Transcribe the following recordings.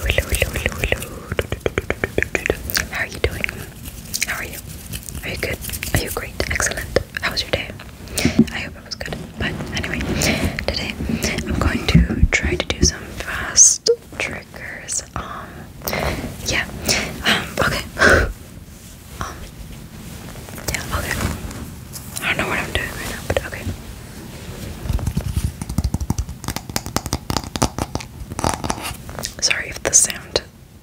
How are you doing? How are you? Are you good? Are you great? Excellent. How was your day? I hope it was good. But anyway, today I'm going to try to do some fast triggers. Um, yeah. Um, okay. um, yeah, okay. I don't know what I'm doing right now, but okay. Sorry if the sound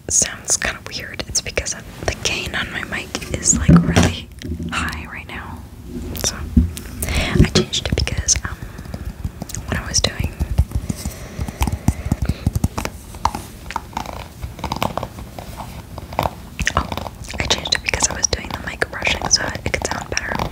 sounds kind of weird. It's because the gain on my mic is like really high right now. So I changed it because um, when I was doing Oh, I changed it because I was doing the mic brushing so it could sound better.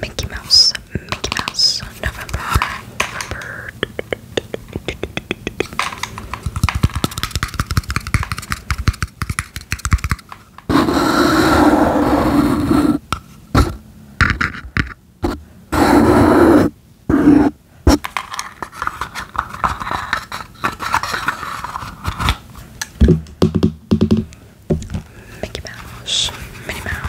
Mickey Mouse, Mickey Mouse, November, November. Mickey Mouse, Minnie Mouse.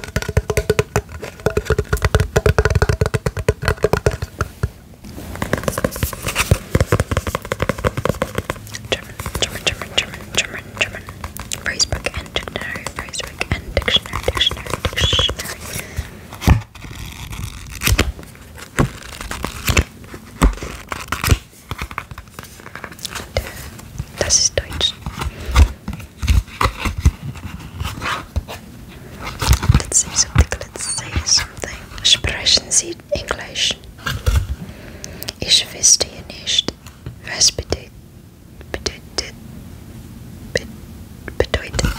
German, German, German, German, German, German. Phrasebook and dictionary, phrasebook and dictionary, dictionary, dictionary. Das ist Deutsch. Let's say something. Let's say something. Sprechen Sie Englisch? Ich verstehe nicht. Was bedeutet bedeutet be, bedeutet?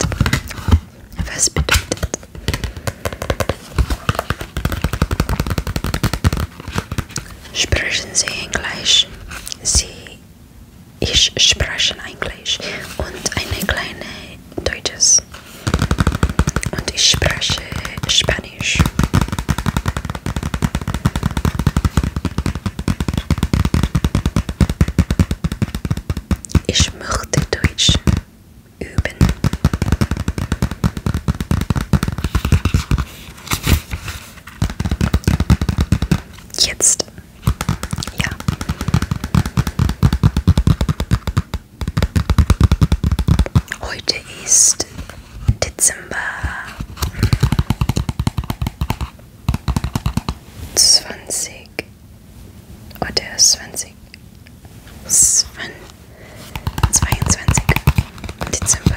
Was bedeutet? Sprechen Sie Englisch? Sie, ich spreche Englisch und eine kleine Deutsches. Und ich spreche Spanisch. Ich möchte Deutsch üben. Jetzt. Ja. Heute ist Dezember 20 oder 20 22 Dezember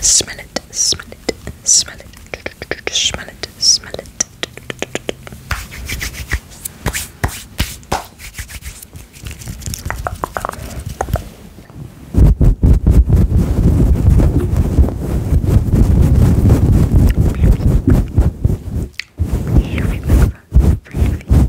Smell it, smell smell it, smell it, smell it. Here we go. Freely.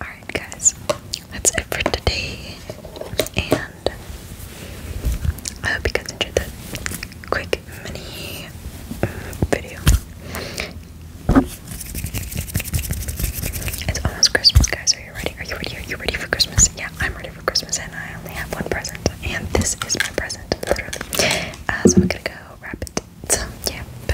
Alright, guys, that's it for today. And I hope you guys enjoyed that quick mini mm, video. It's almost Christmas, guys. Are you ready? Are you ready? Are you ready for Christmas? Yeah, I'm ready for Christmas, and I only have one present. And this is my present, literally. Uh, so I'm gonna go wrap it. So, yeah,